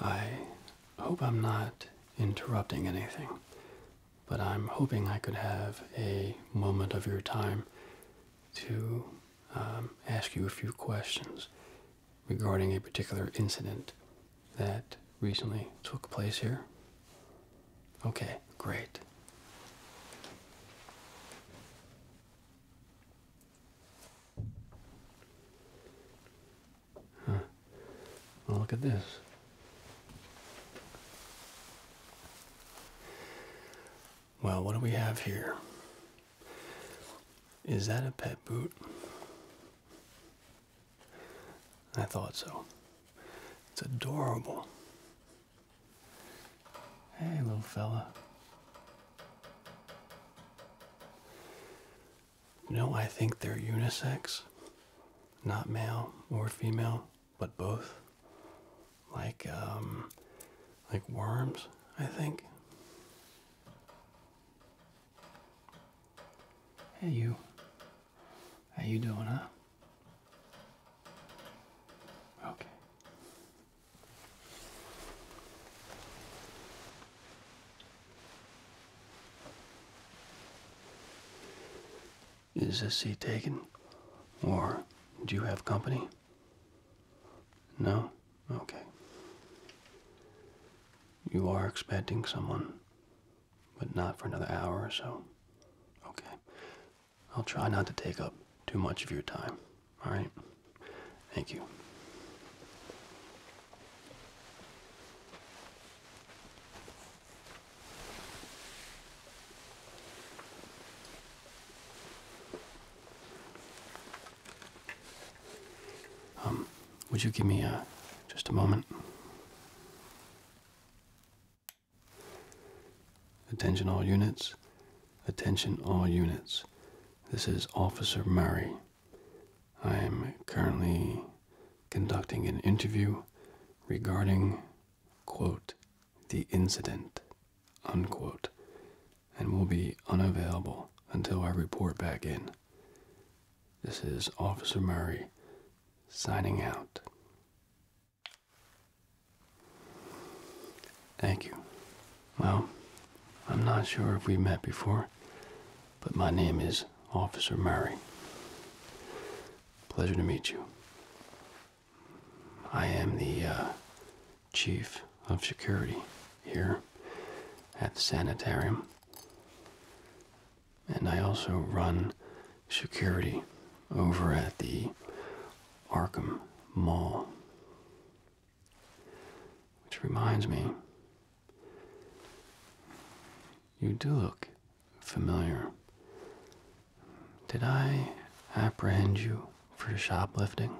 I hope I'm not interrupting anything, but I'm hoping I could have a moment of your time to um, ask you a few questions regarding a particular incident that recently took place here. Okay, great. Well, look at this. Well, what do we have here? Is that a pet boot? I thought so. It's adorable. Hey, little fella. You know, I think they're unisex. Not male or female, but both. Like, um, like worms, I think. Hey, you. How you doing, huh? Okay. Is this seat taken? Or do you have company? No? Okay. You are expecting someone but not for another hour or so. Okay. I'll try not to take up too much of your time. All right? Thank you. Um, would you give me uh, just a moment? Attention all units. Attention all units. This is Officer Murray. I am currently conducting an interview regarding, quote, the incident, unquote, and will be unavailable until I report back in. This is Officer Murray signing out. Thank you. Well, I'm not sure if we met before, but my name is Officer Murray. Pleasure to meet you. I am the uh, chief of security here at the sanitarium, and I also run security over at the Arkham Mall. Which reminds me, you do look familiar. Did I apprehend you for shoplifting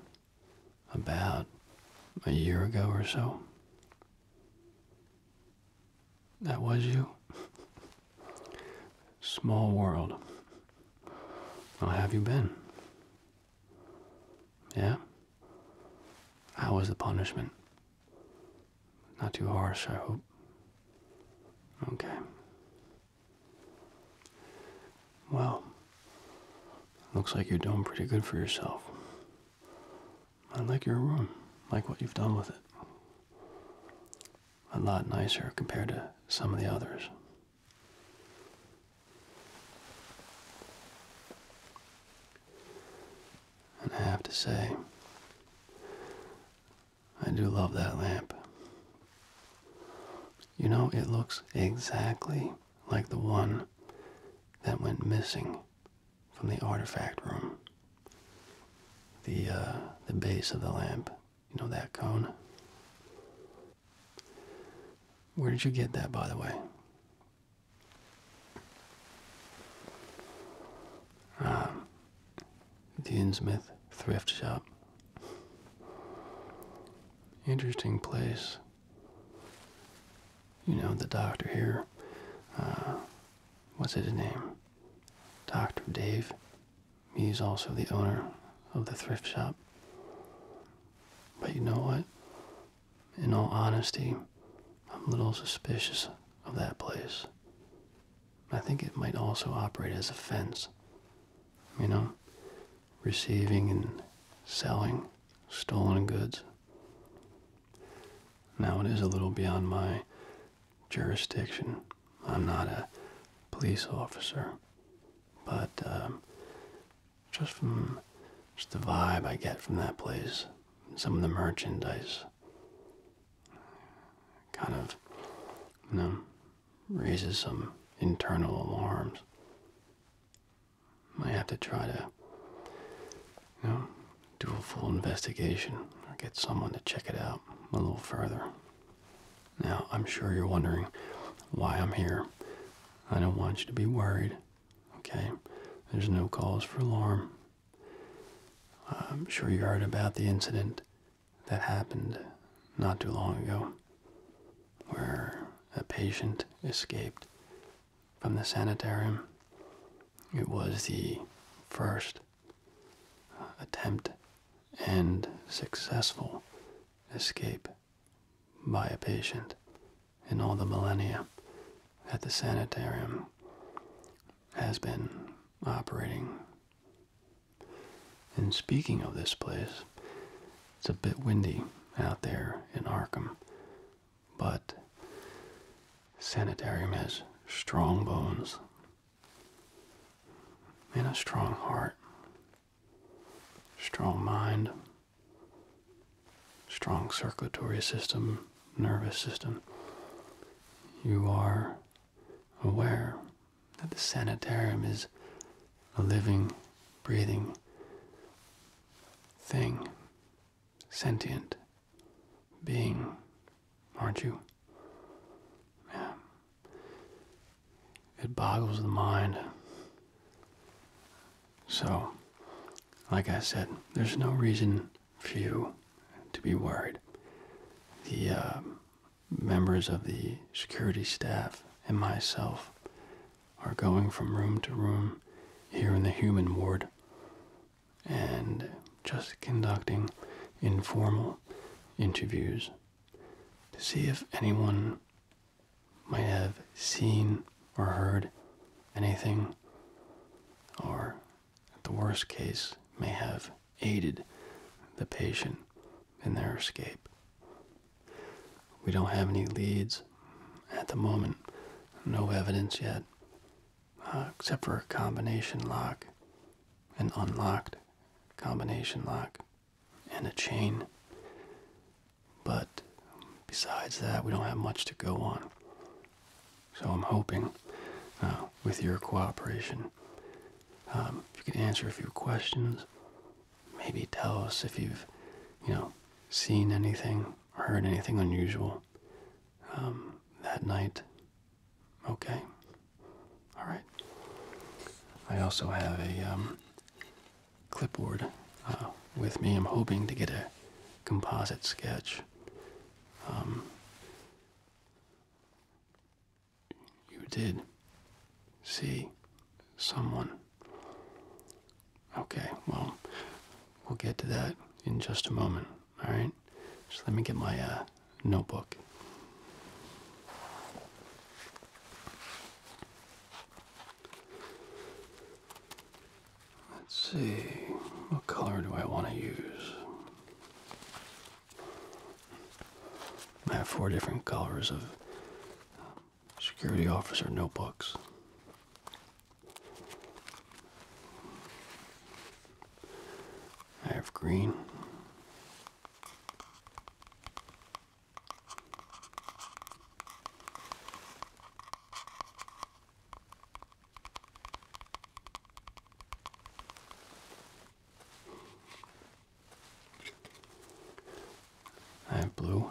about a year ago or so? That was you? Small world. How have you been? Yeah? How was the punishment? Not too harsh, I hope. Okay. Well, looks like you're doing pretty good for yourself. I like your room, like what you've done with it a lot nicer compared to some of the others. And I have to say, I do love that lamp. You know, it looks exactly like the one that went missing from the artifact room. The, uh, the base of the lamp you know that cone? Where did you get that, by the way? Ah, the Innsmouth thrift shop. Interesting place. You know, the doctor here, ah, what's his name? Dr. Dave He's also the owner of the thrift shop. But you know what? In all honesty, I'm a little suspicious of that place. I think it might also operate as a fence. You know, receiving and selling stolen goods. Now it is a little beyond my jurisdiction, I'm not a police officer, but um, just from just the vibe I get from that place, some of the merchandise kind of, you know, raises some internal alarms. I have to try to, you know, do a full investigation or get someone to check it out a little further. Now, I'm sure you're wondering why I'm here. I don't want you to be worried, okay? There's no cause for alarm. I'm sure you heard about the incident that happened not too long ago where a patient escaped from the sanitarium. It was the first attempt and successful escape by a patient in all the millennia that the sanitarium has been operating. And speaking of this place, it's a bit windy out there in Arkham, but sanitarium has strong bones in a strong heart, strong mind, strong circulatory system, nervous system. You are aware that the sanitarium is a living, breathing thing, sentient being, aren't you? Yeah. It boggles the mind. So, like I said, there's no reason for you to be worried. The uh, members of the security staff and myself are going from room to room here in the human ward and just conducting informal interviews to see if anyone might have seen or heard anything, or at the worst case, may have aided the patient in their escape. We don't have any leads at the moment, no evidence yet, uh, except for a combination lock, an unlocked combination lock and a chain. But besides that, we don't have much to go on. So I'm hoping, uh, with your cooperation, um, if you can answer a few questions, maybe tell us if you've, you know, seen anything, heard anything unusual um, that night. Okay. All right. I also have a um, clipboard uh, with me. I'm hoping to get a composite sketch. Um, you did see someone. Okay, well, we'll get to that in just a moment. All right. So let me get my uh, notebook. Let's see, what color do I want to use? I have four different colors of security officer notebooks. I have green, I have blue.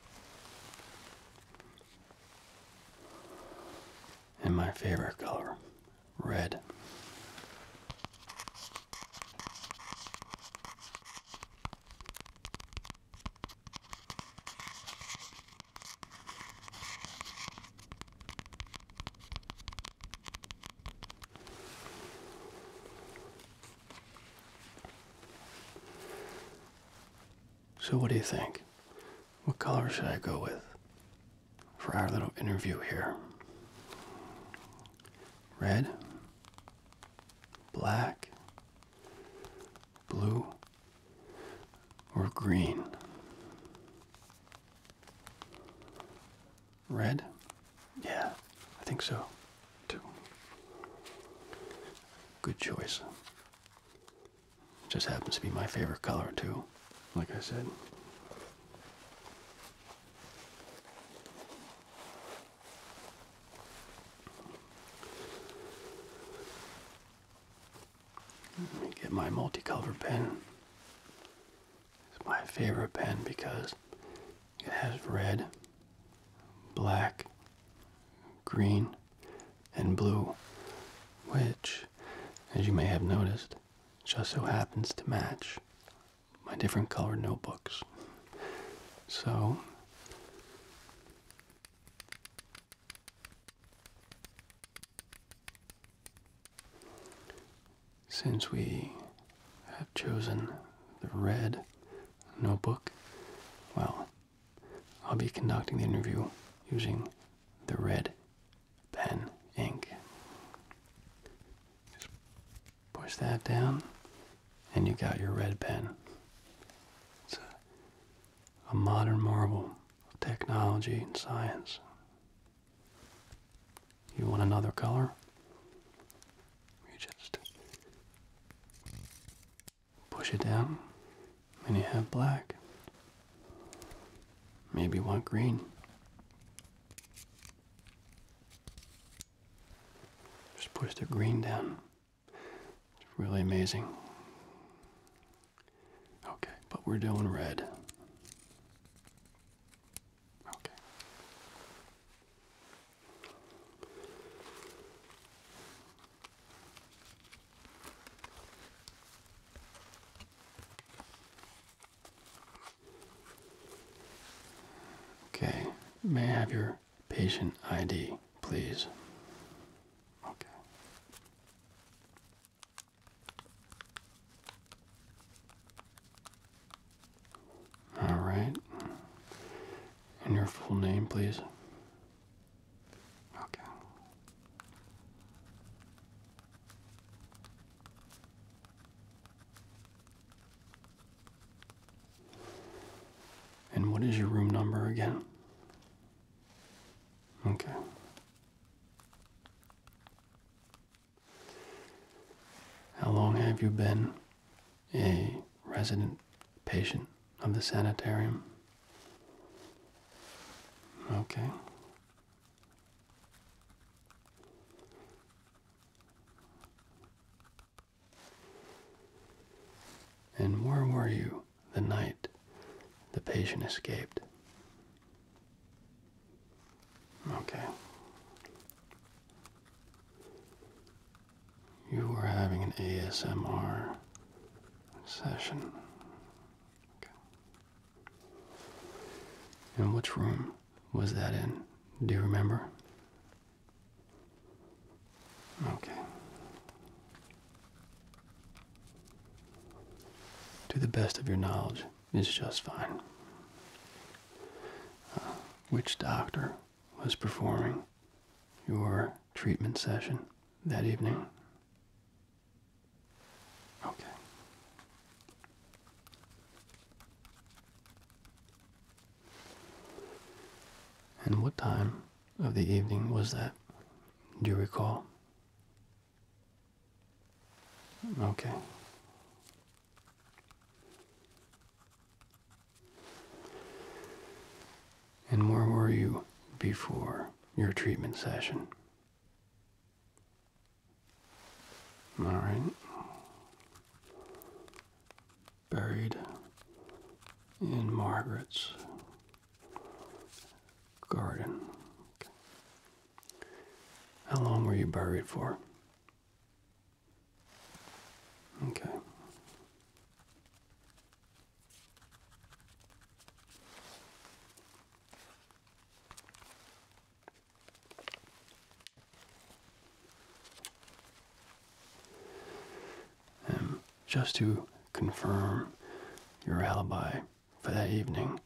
And my favorite color, red. So, what do you think? What color should I go with for our little interview here? Red, black, blue, or green? Red? Yeah, I think so too. Good choice. Just happens to be my favorite color too, like I said. Let me get my multicolored pen. It's my favorite pen because it has red, black, green, and blue, which, as you may have noticed, just so happens to match my different colored notebooks. So, since we have chosen the red notebook, well, I'll be conducting the interview using the red pen ink. push that down, and you got your red pen. It's a, a modern marvel of technology and science. You want another color? You just Push it down, and you have black. Maybe want green. Just push the green down. It's really amazing. Okay, but we're doing red. Okay. Okay, may I have your patient ID, please? Okay. All right. And your full name, please. Okay. And what is your room number again? Okay. How long have you been a resident patient of the sanitarium. Okay. And where were you the night the patient escaped? Okay you were having an ASMR session. And which room was that in? Do you remember? Okay. To the best of your knowledge, is just fine. Uh, which doctor was performing your treatment session? that evening. Okay. And what time of the evening was that? Do you recall? Okay. And where were you before your treatment session? All right. Buried in Margaret's garden. How long were you buried for? Okay. Um, just to confirm your alibi for that evening,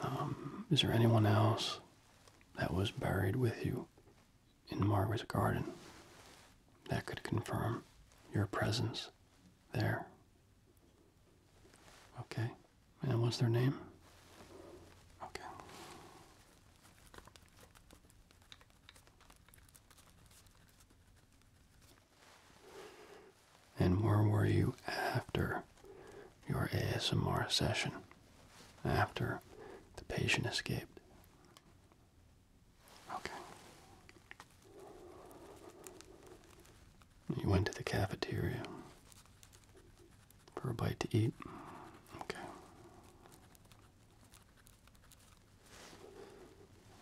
um, is there anyone else that was buried with you in Margaret's garden that could confirm your presence there. Okay. And what's their name? Okay. And where were you after your ASMR session? After the patient escaped? Okay. You went to the cafeteria for a bite to eat. Okay.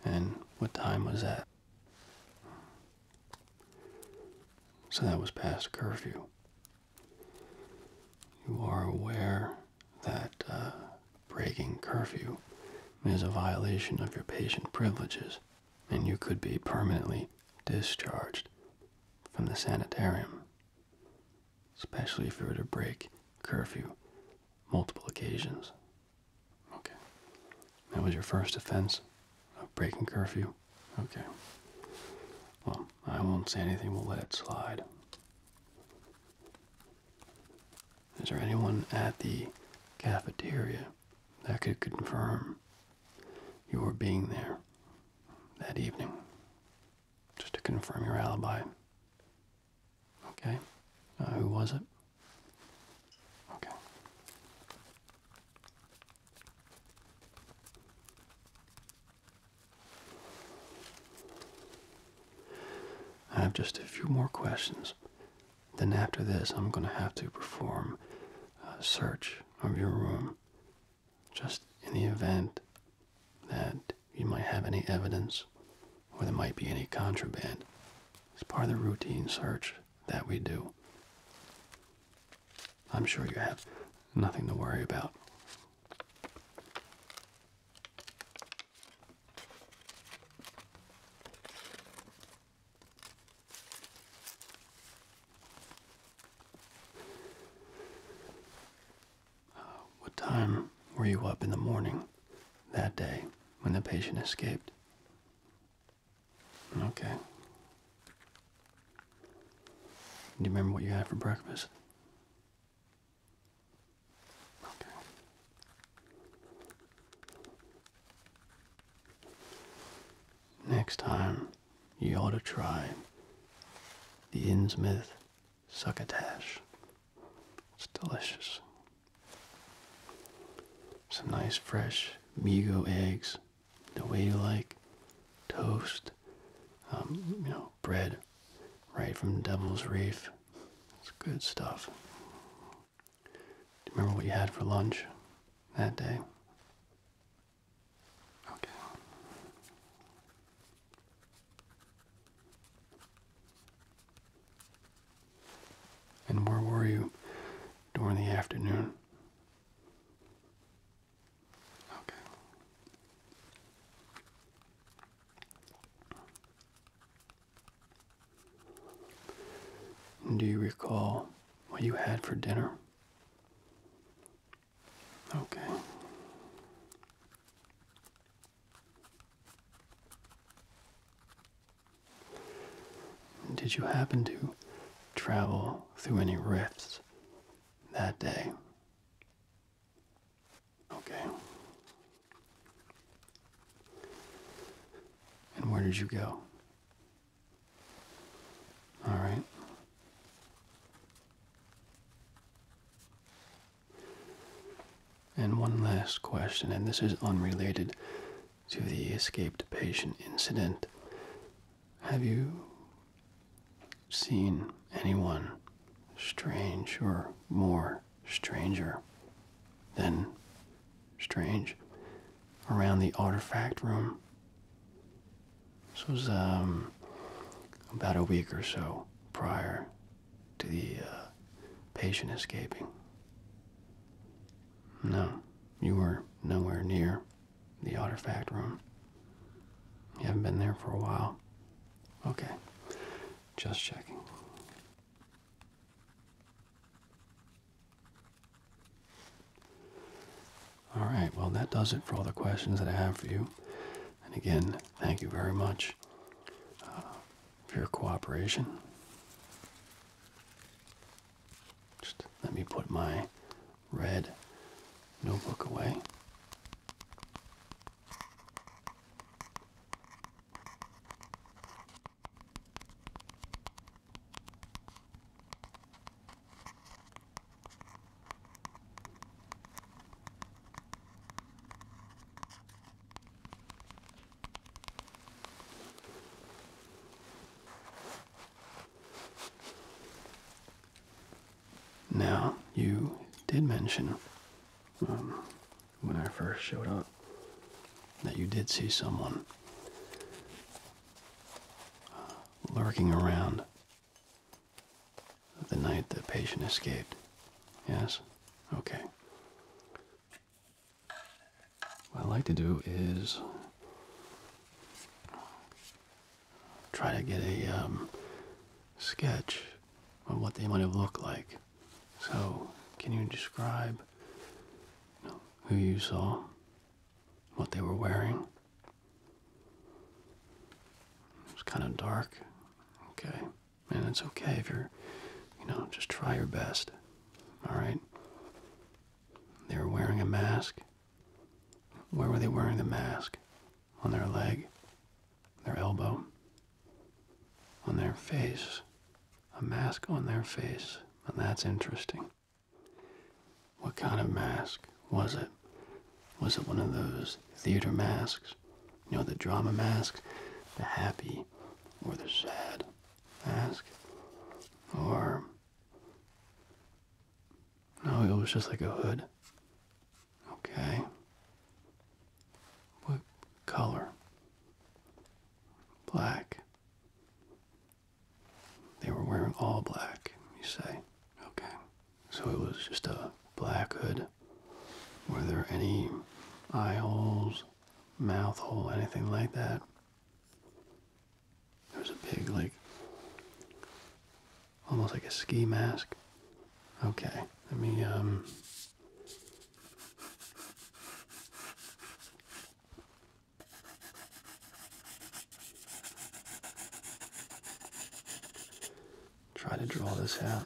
And what time was that? So that was past curfew. You are aware that uh, Breaking curfew is a violation of your patient privileges, and you could be permanently discharged from the sanitarium, especially if you were to break curfew multiple occasions. Okay. That was your first offense of breaking curfew? Okay. Well, I won't say anything. We'll let it slide. Is there anyone at the cafeteria that could confirm your being there that evening? Just to confirm your alibi. Okay. Uh, who was it? Okay. I have just a few more questions then after this, I'm going to have to perform a search of your room just in the event that you might have any evidence or there might be any contraband. It's part of the routine search that we do. I'm sure you have nothing to worry about. Uh, what time were you up in the morning that day when the patient escaped? Okay. Do you remember what you had for breakfast? Okay. Next time, you ought to try the Innsmouth succotash. It's delicious. Some nice fresh Migo eggs, the way you like, toast, um, you know, bread, right from Devil's Reef. It's good stuff. Do you remember what you had for lunch that day? Okay. And where were you during the afternoon? Okay. Do you recall what you had for dinner? Okay. Did you happen to travel through any rifts that day? Okay. And where did you go? All right. And one last question, and this is unrelated to the escaped patient incident. Have you seen anyone strange or more stranger then, strange, around the artifact room. This was um, about a week or so prior to the uh, patient escaping. No, you were nowhere near the artifact room. You haven't been there for a while. Okay, just checking. All right, well, that does it for all the questions that I have for you. And again, thank you very much uh, for your cooperation. Just let me put my red notebook away. Now, you did mention um, when I first showed up out that you did see someone uh, lurking around the night the patient escaped. Yes? Okay. What I like to do is try to get a um, sketch of what they might have looked like. So, can you describe who you saw, what they were wearing. It's kind of dark. Okay. And it's okay if you're, you know, just try your best. All right? They were wearing a mask. Where were they wearing the mask? On their leg, their elbow, on their face, a mask on their face, and that's interesting. What kind of mask was it? Was it one of those theater masks? You know, the drama masks? The happy or the sad mask? Or. No, it was just like a hood. Okay. What color? Black. They were wearing all black, you say. Okay. So it was just a black hood. Were there any eye holes, mouth hole, anything like that? There's a pig, like, almost like a ski mask. Okay. Let me, um. Try to draw this out.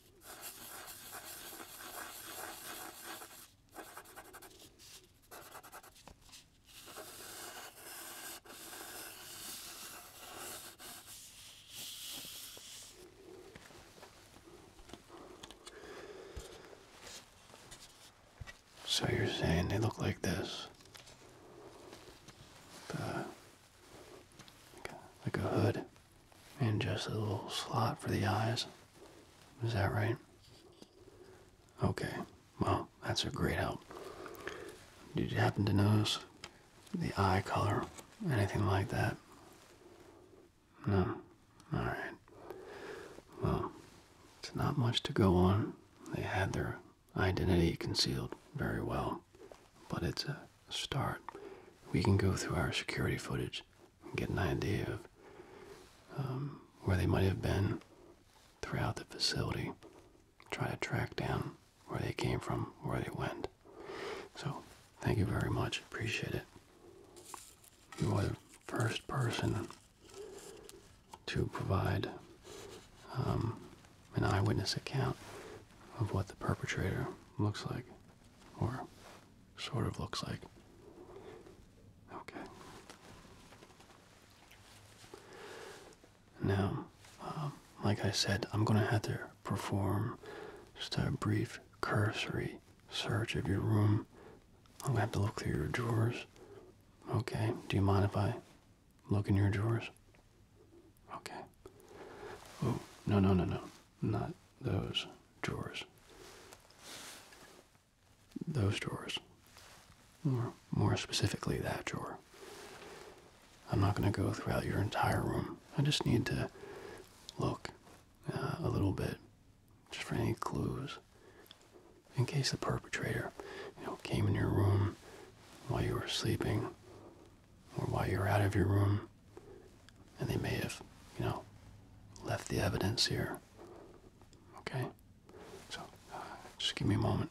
So you're saying they look like this? like a hood and just a little slot for the eyes. Is that right? Okay. Well, that's a great help. Did you happen to notice the eye color? Anything like that? No. Alright. Well, it's not much to go on. They had their identity concealed very well. But it's a start. We can go through our security footage get an idea of um, where they might have been throughout the facility. Try to track down where they came from, where they went. So, thank you very much. Appreciate it. You are the first person to provide um, an eyewitness account of what the perpetrator looks like or sort of looks like. Okay. Now, um, like I said, I'm going to have to perform just a brief cursory search of your room. I'm going to have to look through your drawers. Okay, do you mind if I look in your drawers? Okay. Oh, no, no, no, no not those drawers. Those drawers. Or more specifically, that drawer. I'm not going to go throughout your entire room. I just need to look uh, a little bit, just for any clues, in case the perpetrator, you know, came in your room while you were sleeping, or while you were out of your room, and they may have, you know, left the evidence here. Okay? So, uh, just give me a moment.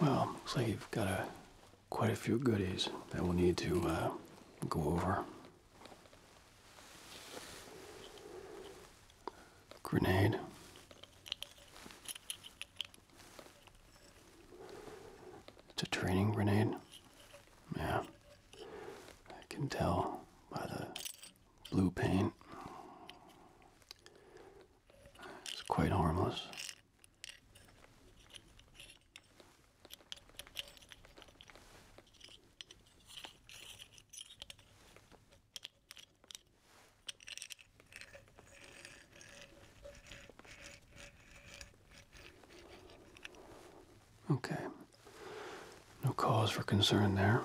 Well, looks like you've got a, quite a few goodies that we'll need to uh, go over. Grenade, it's a training grenade. Yeah. I can tell by the blue paint. It's quite harmless. Okay. No cause for concern there.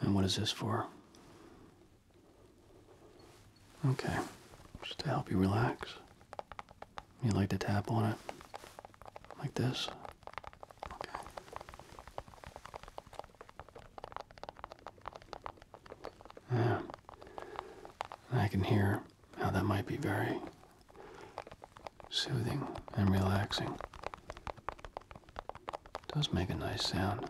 And what is this for? Okay. Just to help you relax. You like to tap on it like this. Yeah. I can hear how that might be very soothing and relaxing. does make a nice sound.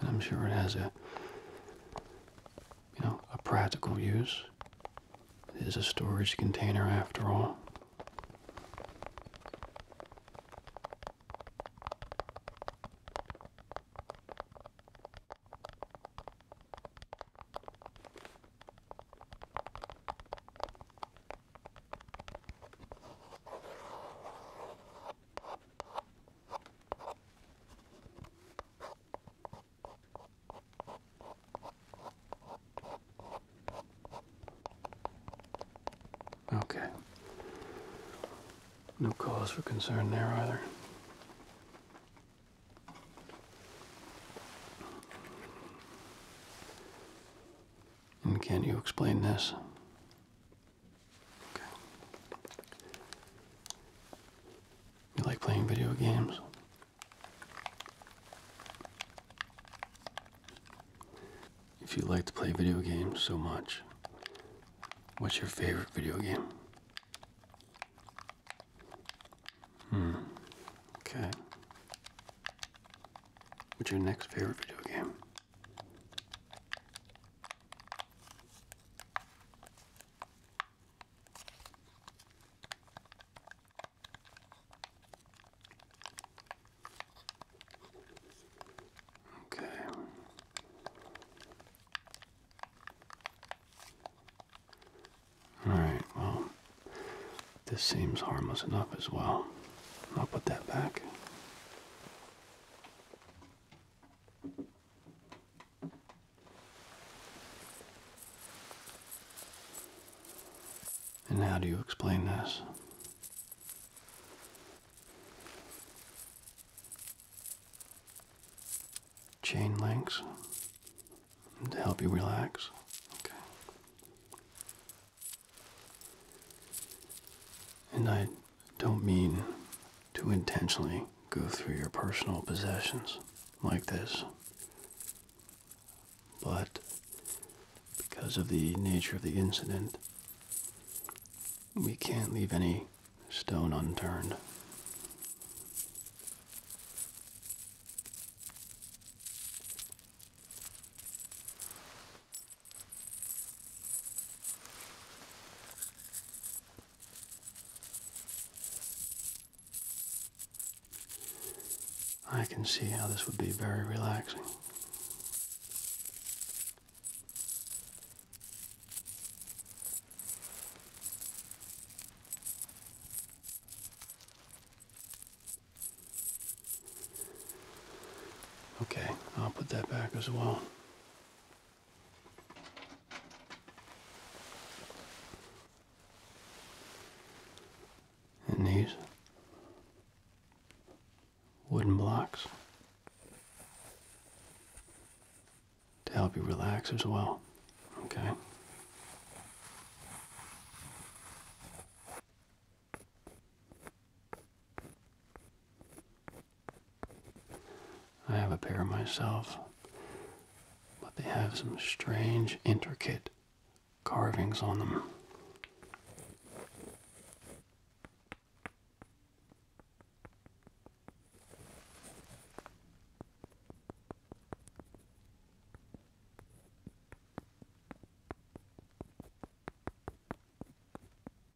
And I'm sure it has a you know, a practical use. It is a storage container after all. Okay. No cause for concern there either. And can you explain this? You like playing video games? If you like to play video games so much, what's your favorite video game? Hmm. Okay. What's your next favorite video game? Okay. Alright, well, this seems harmless enough as well. I'll put that back. And how do you explain this? Chain links to help you relax. Okay. And I don't mean to intentionally go through your personal possessions like this. But because of the nature of the incident, we can't leave any stone unturned. I can see how this would be very relaxing. Okay, I'll put that back as well. And these wooden blocks to help you relax as well. Okay. I have a pair myself, but they have some strange, intricate carvings on them.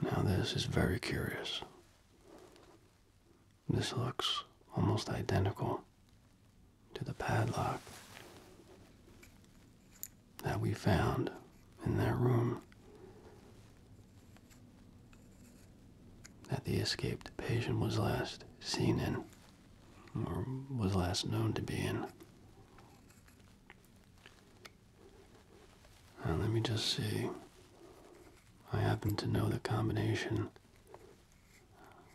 Now, this is very curious. This looks almost identical to the padlock that we found in that room that the escaped patient was last seen in, or was last known to be in. Uh, let me just see. I happen to know the combination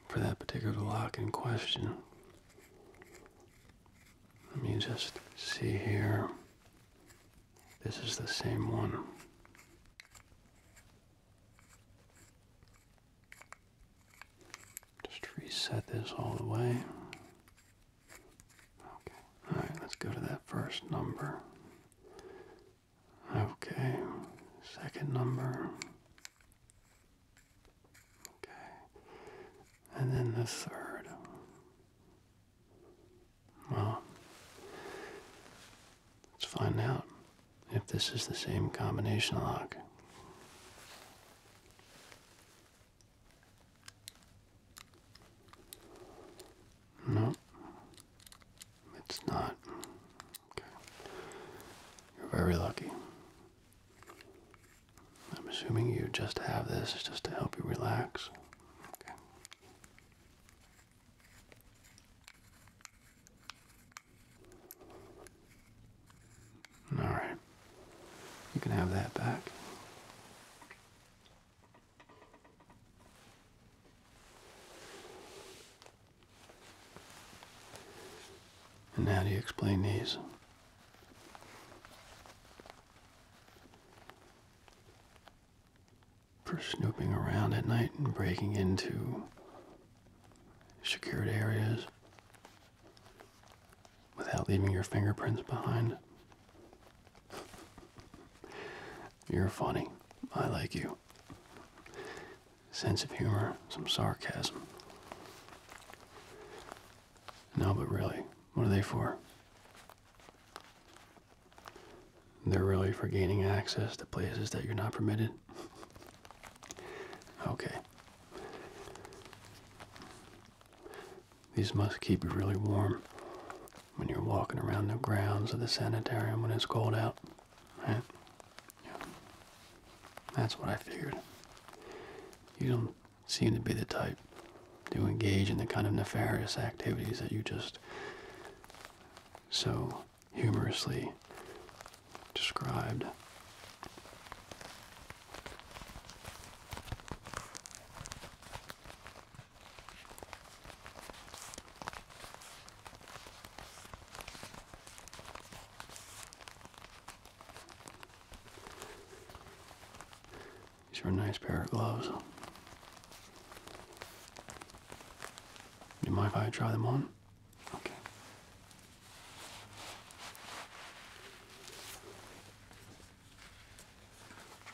for that particular lock in question. Let me just see here. This is the same one. Just reset this all the way. Okay. All right, let's go to that first number. Okay. Second number. Okay. And then the third. Well, let's find out if this is the same combination lock. No, it's not. Okay. You're very lucky. I'm assuming you just have this just to help you relax. Okay. All right. You can have that back. And how do you explain these? For snooping around at night and breaking into secured areas without leaving your fingerprints behind. You're funny. I like you. Sense of humor, some sarcasm. No, but really, what are they for? They're really for gaining access to places that you're not permitted? okay. These must keep you really warm when you're walking around the grounds of the sanitarium when it's cold out. Right? Yeah. That's what I figured. You don't seem to be the type to engage in the kind of nefarious activities that you just so humorously described. These are a nice pair of gloves. Do you mind if I try them on? Okay.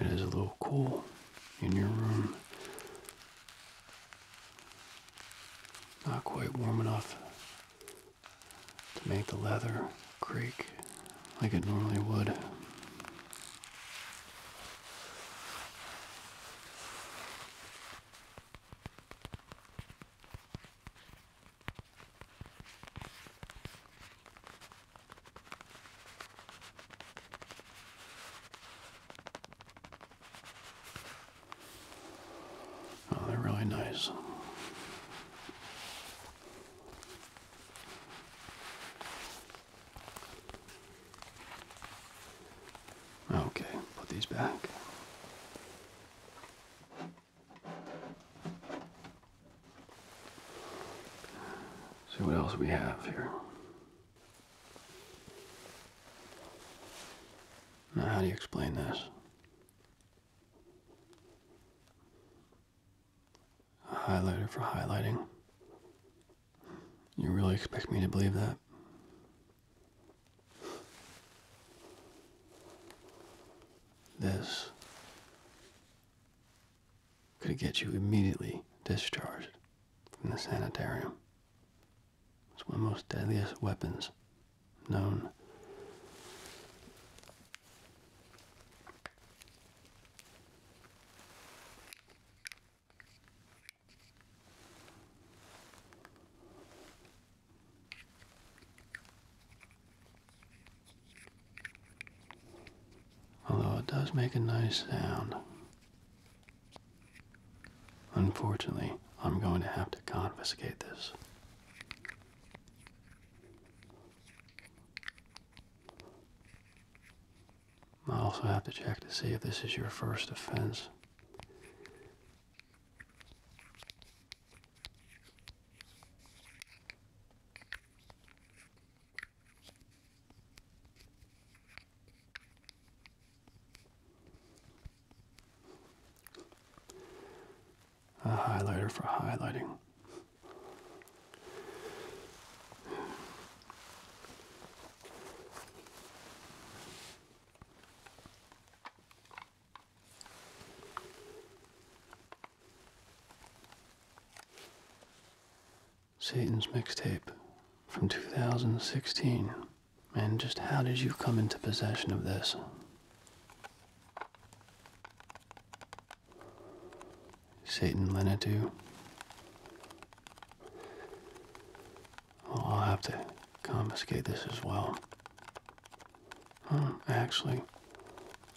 It is a little cool in your room. Not quite warm enough to make the leather creak like it normally would. Oh, they're really nice. Okay, put these back. See what else we have here. Now, how do you explain this? A highlighter for highlighting. You really expect me to believe that? This could get you immediately discharged from the sanitarium. It's one of the most deadliest weapons known Although it does make a nice sound. Unfortunately, I'm going to have to confiscate this. I also have to check to see if this is your first offense a highlighter for highlighting. Satan's mixtape from 2016. And just how did you come into possession of this? Satan lent Lenatu. Well, I'll have to confiscate this as well. Huh, hmm, actually,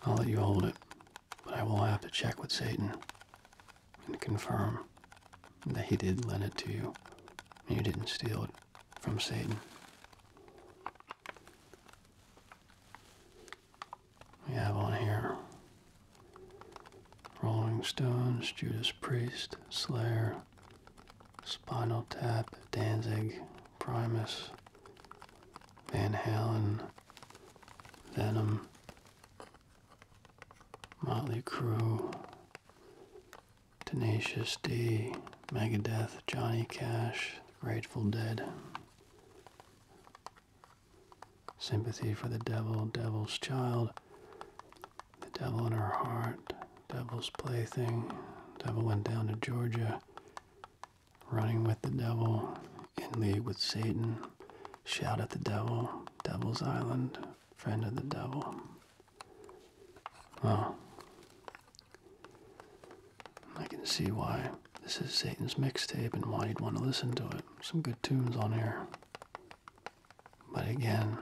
I'll let you hold it, but I will have to check with Satan and confirm that he did lend it to you and you didn't steal it from Satan we have on here Rolling Stones, Judas Priest, Slayer, Spinal Tap, Danzig, Primus, Van Halen, Venom, Motley Crue, Tenacious D, Megadeth, Johnny Cash, Grateful Dead, Sympathy for the devil, devil's child, the devil in her heart, devil's plaything. Devil went down to Georgia, running with the devil, in league with Satan, shout at the devil, devil's island, friend of the devil. Well, I can see why this is Satan's mixtape and why you'd want to listen to it. Some good tunes on here. But again,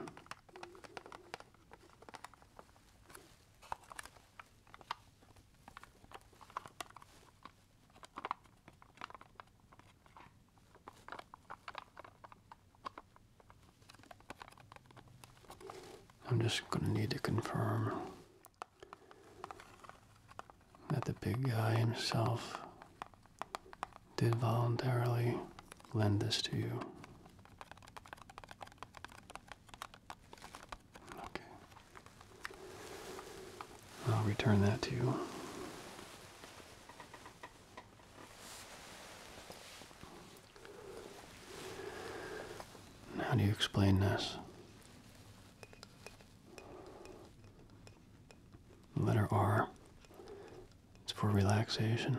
I'm just going to need to confirm that the big guy himself did voluntarily lend this to you. Okay. I'll return that to you. How do you explain this? The letter R. It's for relaxation.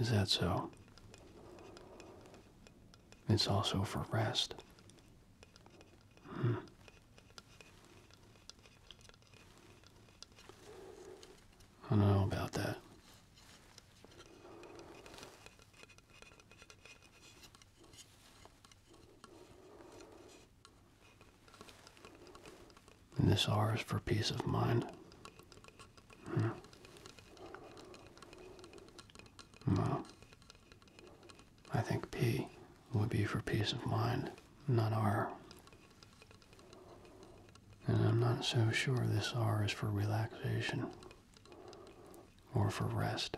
Is that so? It's also for rest. Hmm. I don't know about that this R is for peace of mind. Hmm. I think P would be for peace of mind, not R. And I'm not so sure this R is for relaxation or for rest.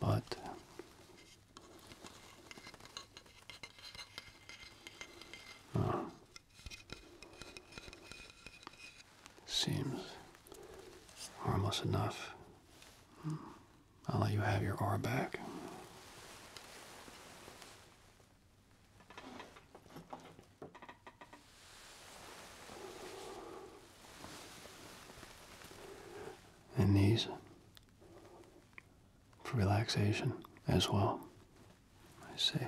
But uh, seems harmless enough. Hmm. I'll let you have your R back. And knees for relaxation as well. I see.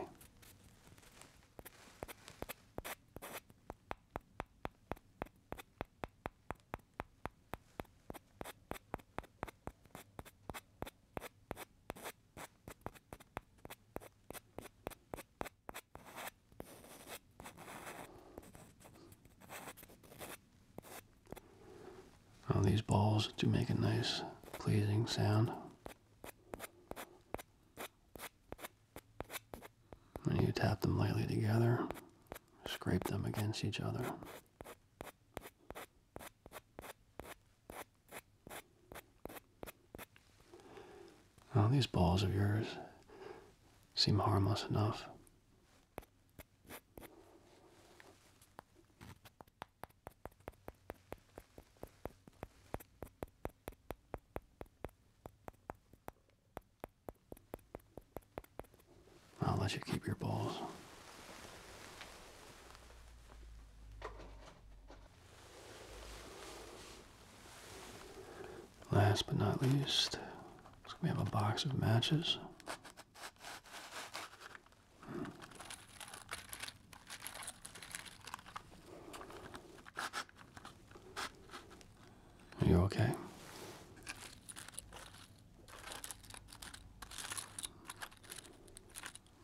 All these balls do make a nice, pleasing sound. And you tap them lightly together, scrape them against each other. Now, these balls of yours seem harmless enough. I'll let you keep your balls. Last but not least, we have a box of matches. Hmm. Are you okay?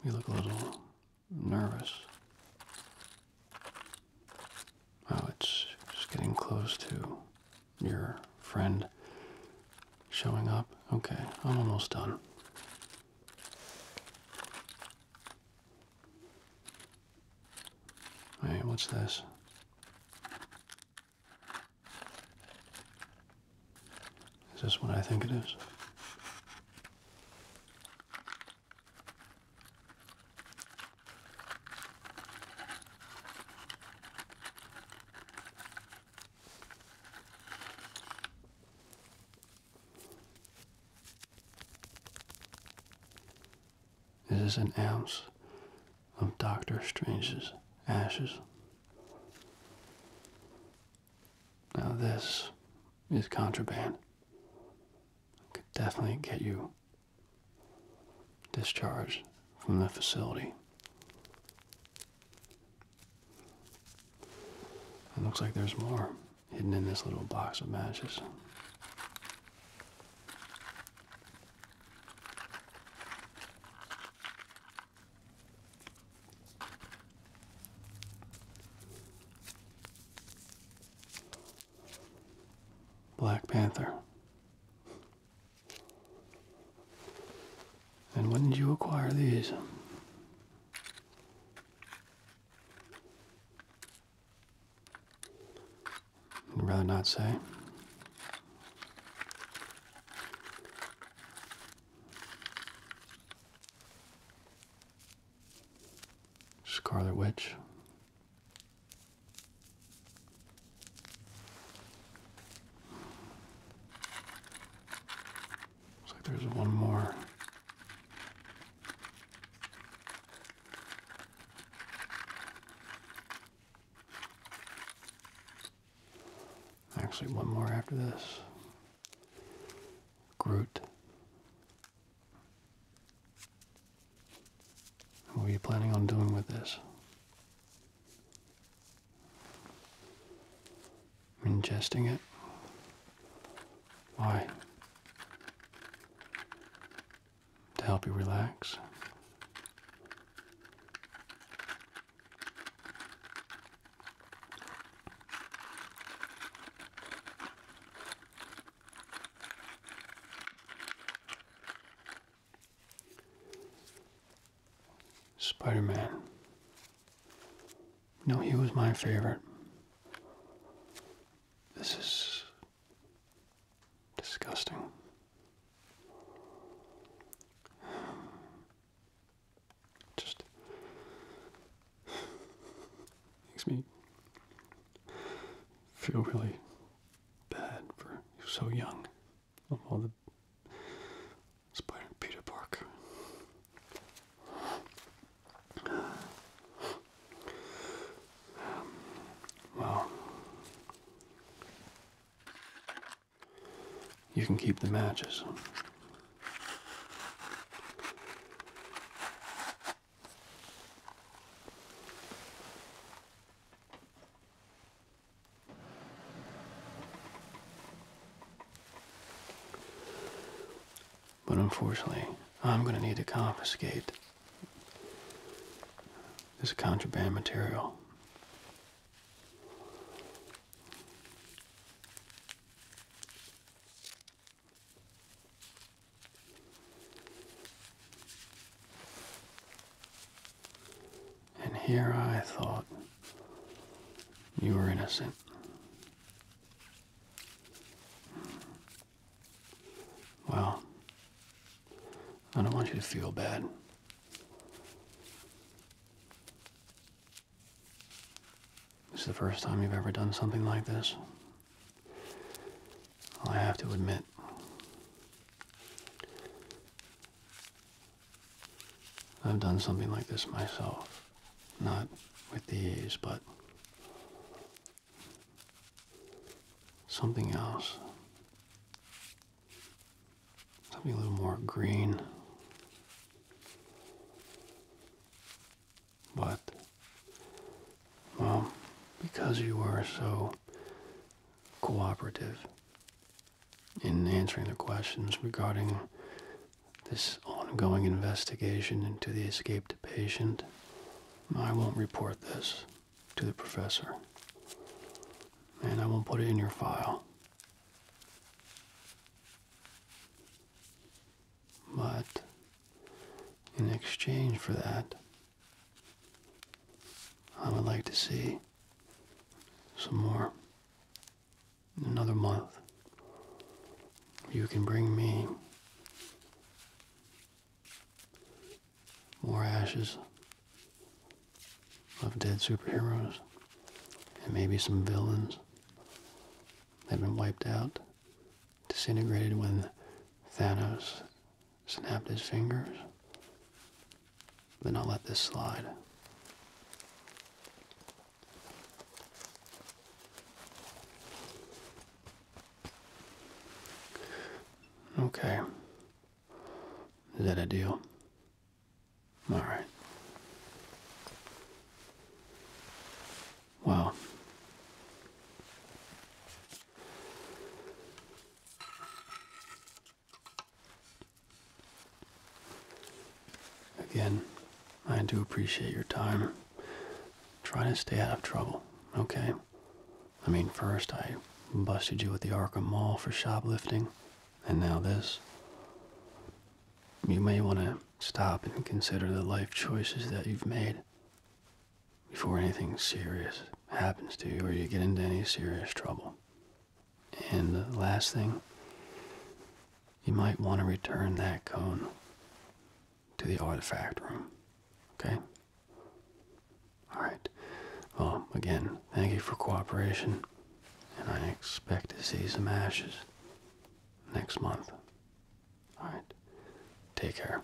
You look a little nervous. Wow, it's just getting close to your friend showing up. Okay, I'm almost done. Hey, what's this? Is this what I think it is? This is an ounce of Doctor Strange's ashes. Now, this is contraband. Could definitely get you discharged from the facility. It looks like there's more hidden in this little box of matches. Black Panther. And when did you acquire these? I'd rather not say. Scarlet Witch. Looks like there's one more. Actually, one more after this. Groot. What are you planning on doing with this? Ingesting it? Why? To help you relax? Spider Man. No, he was my favorite. This is disgusting. Just makes me feel really bad for you so young of all the Spider Peter Parker. well, you can keep the matches. But unfortunately, I'm going to need to confiscate this contraband material and here I thought you were innocent. Well, I don't want you to feel bad. This is the first time you've ever done something like this. I have to admit, I've done something like this myself. Not with these, but something else. Something a little more green. But, well, because you are so cooperative in answering the questions regarding this ongoing investigation into the escaped patient, I won't report this to the professor. And I won't put it in your file. But in exchange for that, I would like to see some more another month. You can bring me more ashes of dead superheroes and maybe some villains. They've been wiped out, disintegrated when Thanos snapped his fingers. Then I'll let this slide. Okay. Is that a deal? All right. Wow. Again, I do appreciate your time. Try to stay out of trouble, okay? I mean, first I busted you at the Arkham Mall for shoplifting. And now this. You may want to stop and consider the life choices that you've made before anything serious happens to you or you get into any serious trouble. And the last thing, you might want to return that cone to the artifact room. Okay? Alright. Well, again, thank you for cooperation and I expect to see some ashes next month. All right, take care.